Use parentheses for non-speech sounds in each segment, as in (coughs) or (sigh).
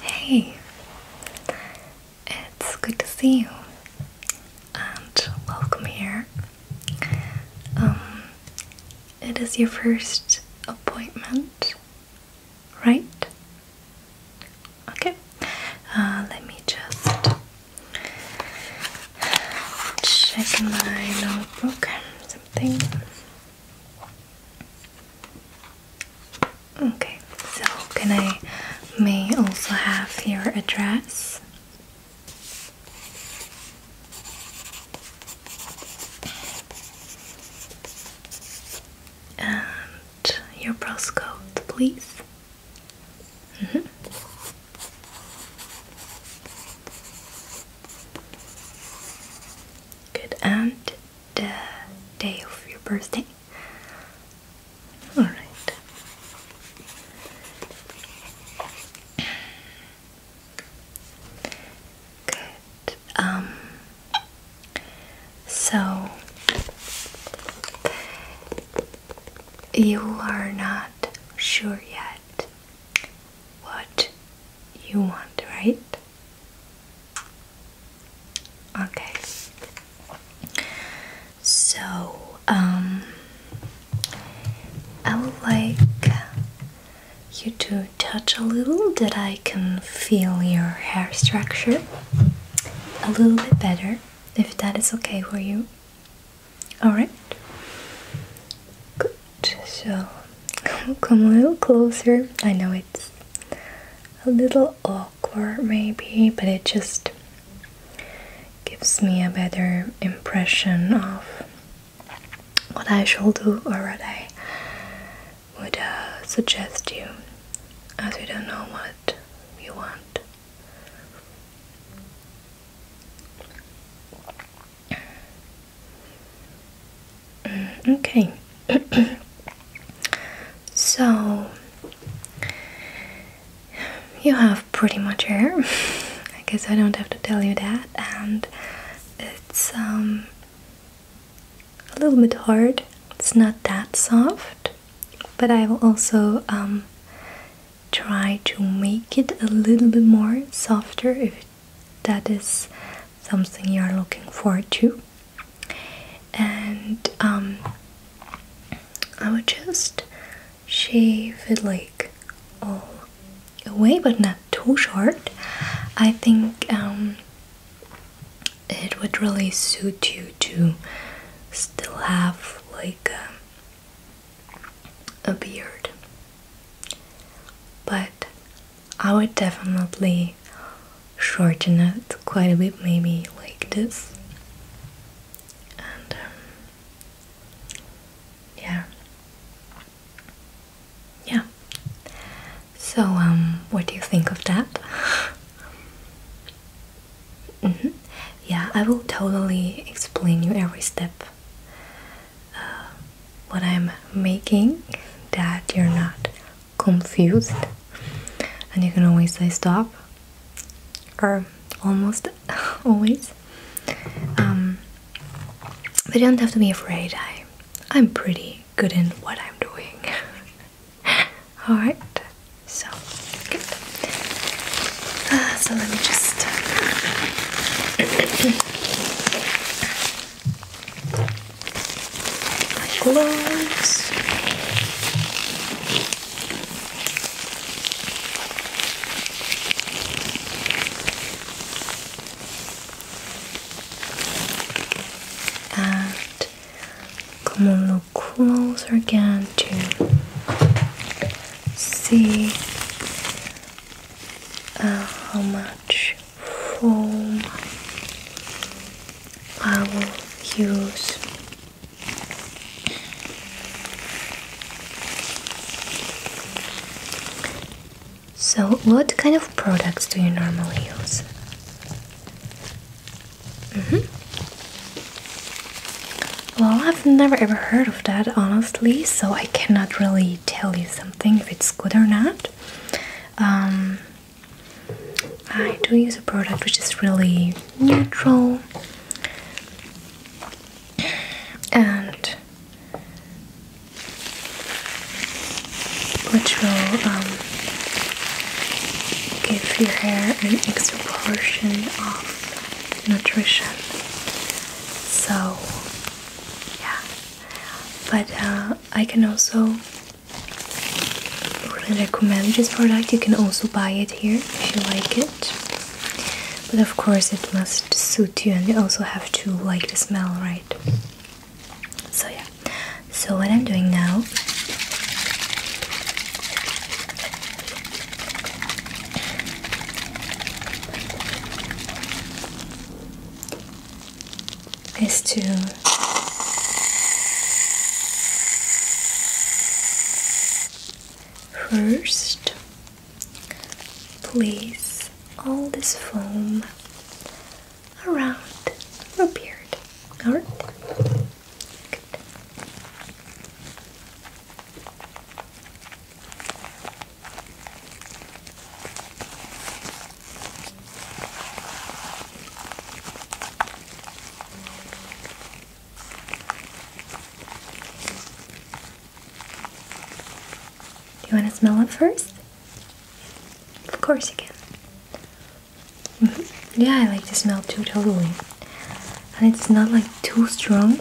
Hey, it's good to see you and welcome here. Um, it is your first appointment, right? Okay, uh, let me just check my notebook, something. Okay, so can I may also have your address? And your postcode, please. Mm-hmm good and the uh, day of your birthday. Alright. Good. Um so you are not sure yet what you want, right? Okay. So, um, I would like you to touch a little that I can feel your hair structure a little bit better, if that is okay for you. Alright? Good so come a little closer. I know it's a little awkward, maybe, but it just gives me a better impression of what I shall do or what I would uh, suggest you as we don't know what you want. Uh, okay (coughs) so you have pretty much hair (laughs) I guess I don't have to tell you that and it's um, a little bit hard it's not that soft but I will also um, try to make it a little bit more softer if that is something you are looking forward to. And um, I would just shave it like all away, but not too short. I think um, it would really suit you to still have like a beard but I would definitely shorten it quite a bit, maybe like this. And um, yeah, yeah. So, um, what do you think of that? (laughs) Mm -hmm. Yeah, I will totally explain you every step uh, what I'm making that you're not confused and you can always say stop or almost (laughs) always um, don't have to be afraid I, I'm pretty good in what I'm doing (laughs) alright so good uh, so let me just gloves. And come on, little closer again to see uh, how much foam I will use. So, what kind of products do you normally use? Mm -hmm. Well, I've never ever heard of that honestly, so I cannot really tell you something if it's good or not. Um, I do use a product which is really neutral (clears throat) and which will um, give your hair an extra portion of nutrition so yeah but uh, I can also really recommend this product you can also buy it here if you like it but of course it must suit you and you also have to like the smell right so yeah so what I'm doing now is to first place all this foam around your beard. Alright? Do you want to smell it first? Of course you can. Mm-hmm. Yeah, I like the smell too, totally. And it's not like too strong,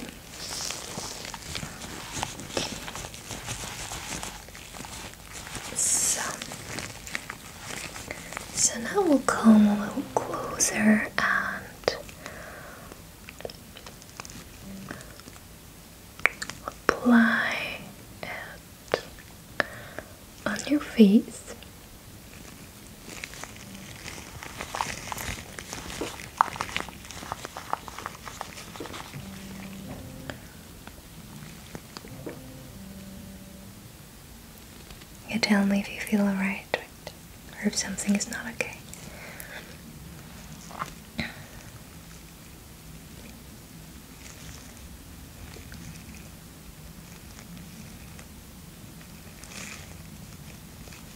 so, so now we'll come a little closer and apply it on your face. You tell me if you feel alright or if something is not okay.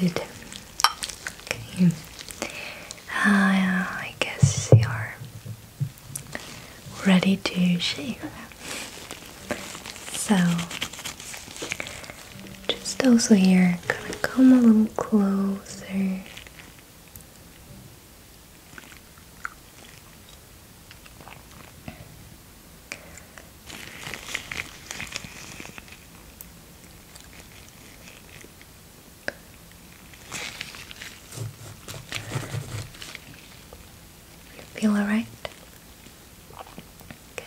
Good. Okay. Ah, I guess you're ready to shave. So, just also here, gonna come a little closer. You Feel all right? Good.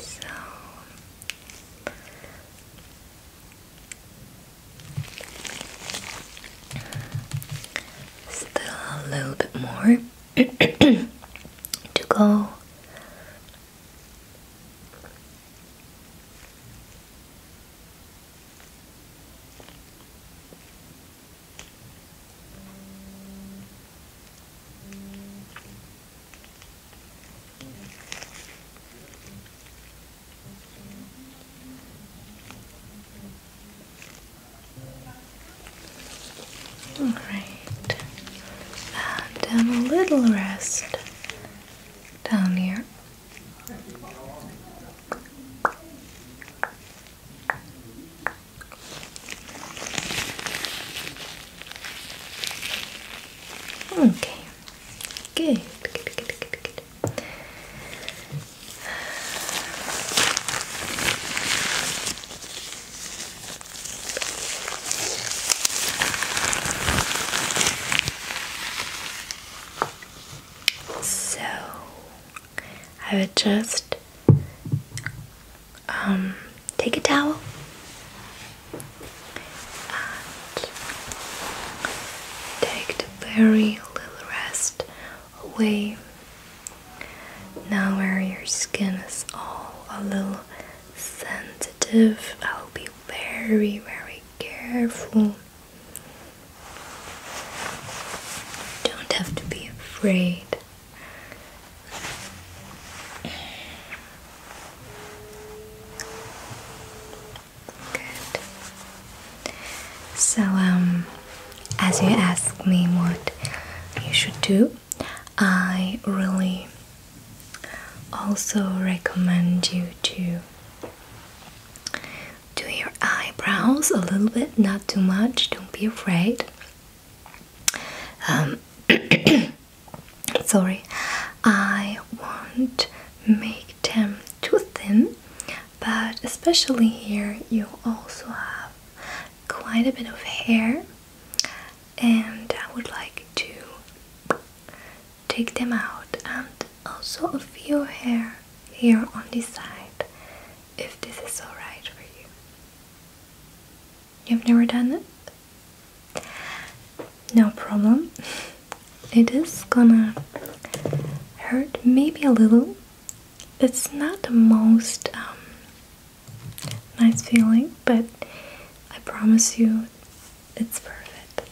So still a little bit more (clears throat) to go all right, And a little rest down here. Okay, good, so I would just um, take a towel and take the very little rest away now where your skin is all a little sensitive. I'll be very, very careful. don't have to be afraid. Good. So, um, as you ask me what you should do, I really also recommend you to do your eyebrows a little bit, not too much, don't be afraid. Um, (coughs) sorry, I won't make them too thin, but especially here, you also have quite a bit of hair and I would like to take them out and also a few hair here on this side if this is alright for you. You've never done it? No problem. (laughs) It is gonna hurt maybe a little. It's not the most um, nice feeling, but I promise you it's perfect.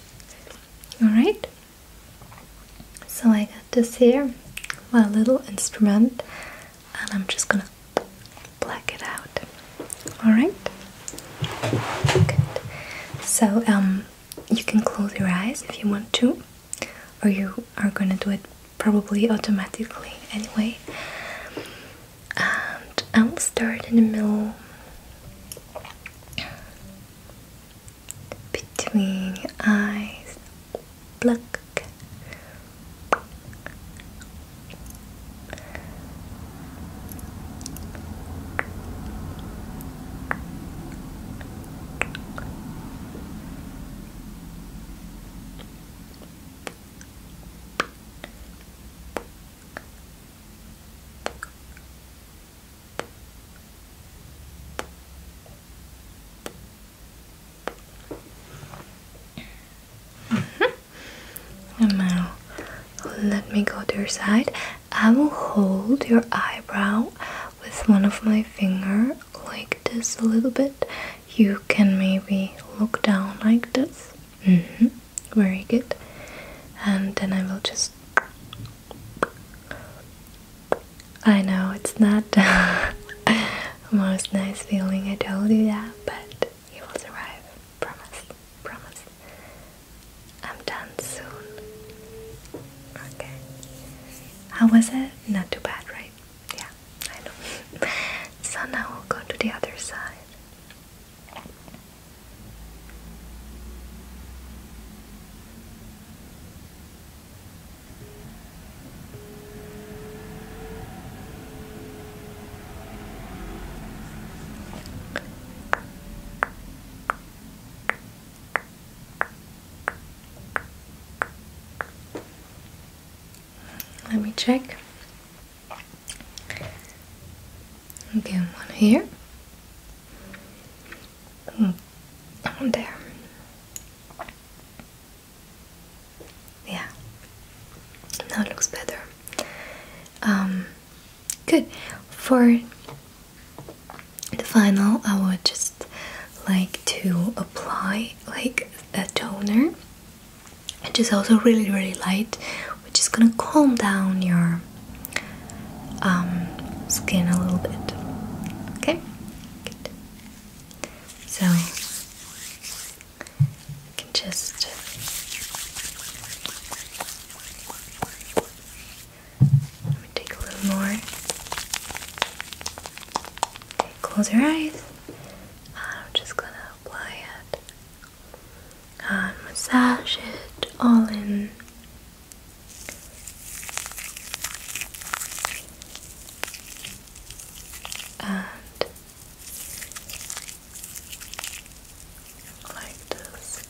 Alright? So I got this here, my little instrument, and I'm just gonna black it out. Alright? Good. So, um, you can close your eyes if you want to, or you are gonna do it probably automatically anyway and I will start in the middle between your eyes pluck Mm (laughs) now let me go to your side. I will hold your eyebrow with one of my finger like this a little bit. You can maybe look down like this. Mm -hmm. Very good. And then I will just. I know it's not (laughs) the most nice feeling, I told you that, but it will survive. Promise. Promise. I'm done soon. Okay. How was it? Not too bad, right? Yeah, I know. so now we'll go to the other side. Let me check. Again, one here. Hmm, one there. Yeah. Now it looks better. Um, good. For the final, I would just like to apply like a toner it is also really really light which is gonna calm down your um, skin a little bit okay so you can just take a little more okay, close your eyes I'm just gonna apply it and massage it all in. And like this.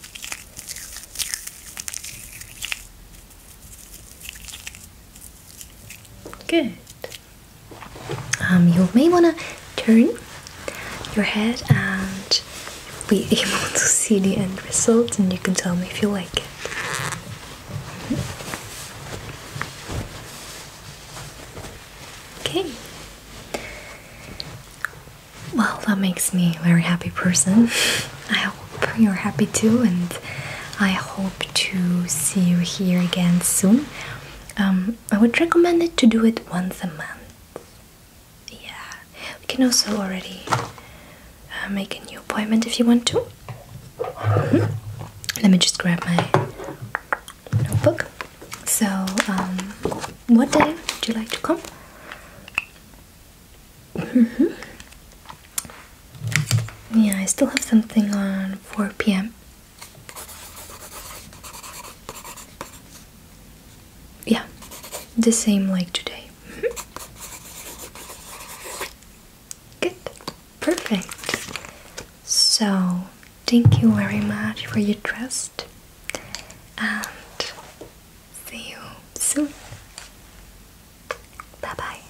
Good. Um, you may want to turn your head and be (laughs) able to see the end result and you can tell me if you like it okay well that makes me a very happy person (laughs) i hope you're happy too and I hope to see you here again soon. Um, I would recommend it to do it once a month. Yeah, we can also already uh, make a new appointment if you want to. Hmm? Let me just grab my notebook. So, um, what day would you like to come? Mm-hmm. Yeah, I still have something on 4 p.m. Yeah, the same like today. (laughs) Good, perfect. So, thank you very much for your trust and see you soon. Bye bye.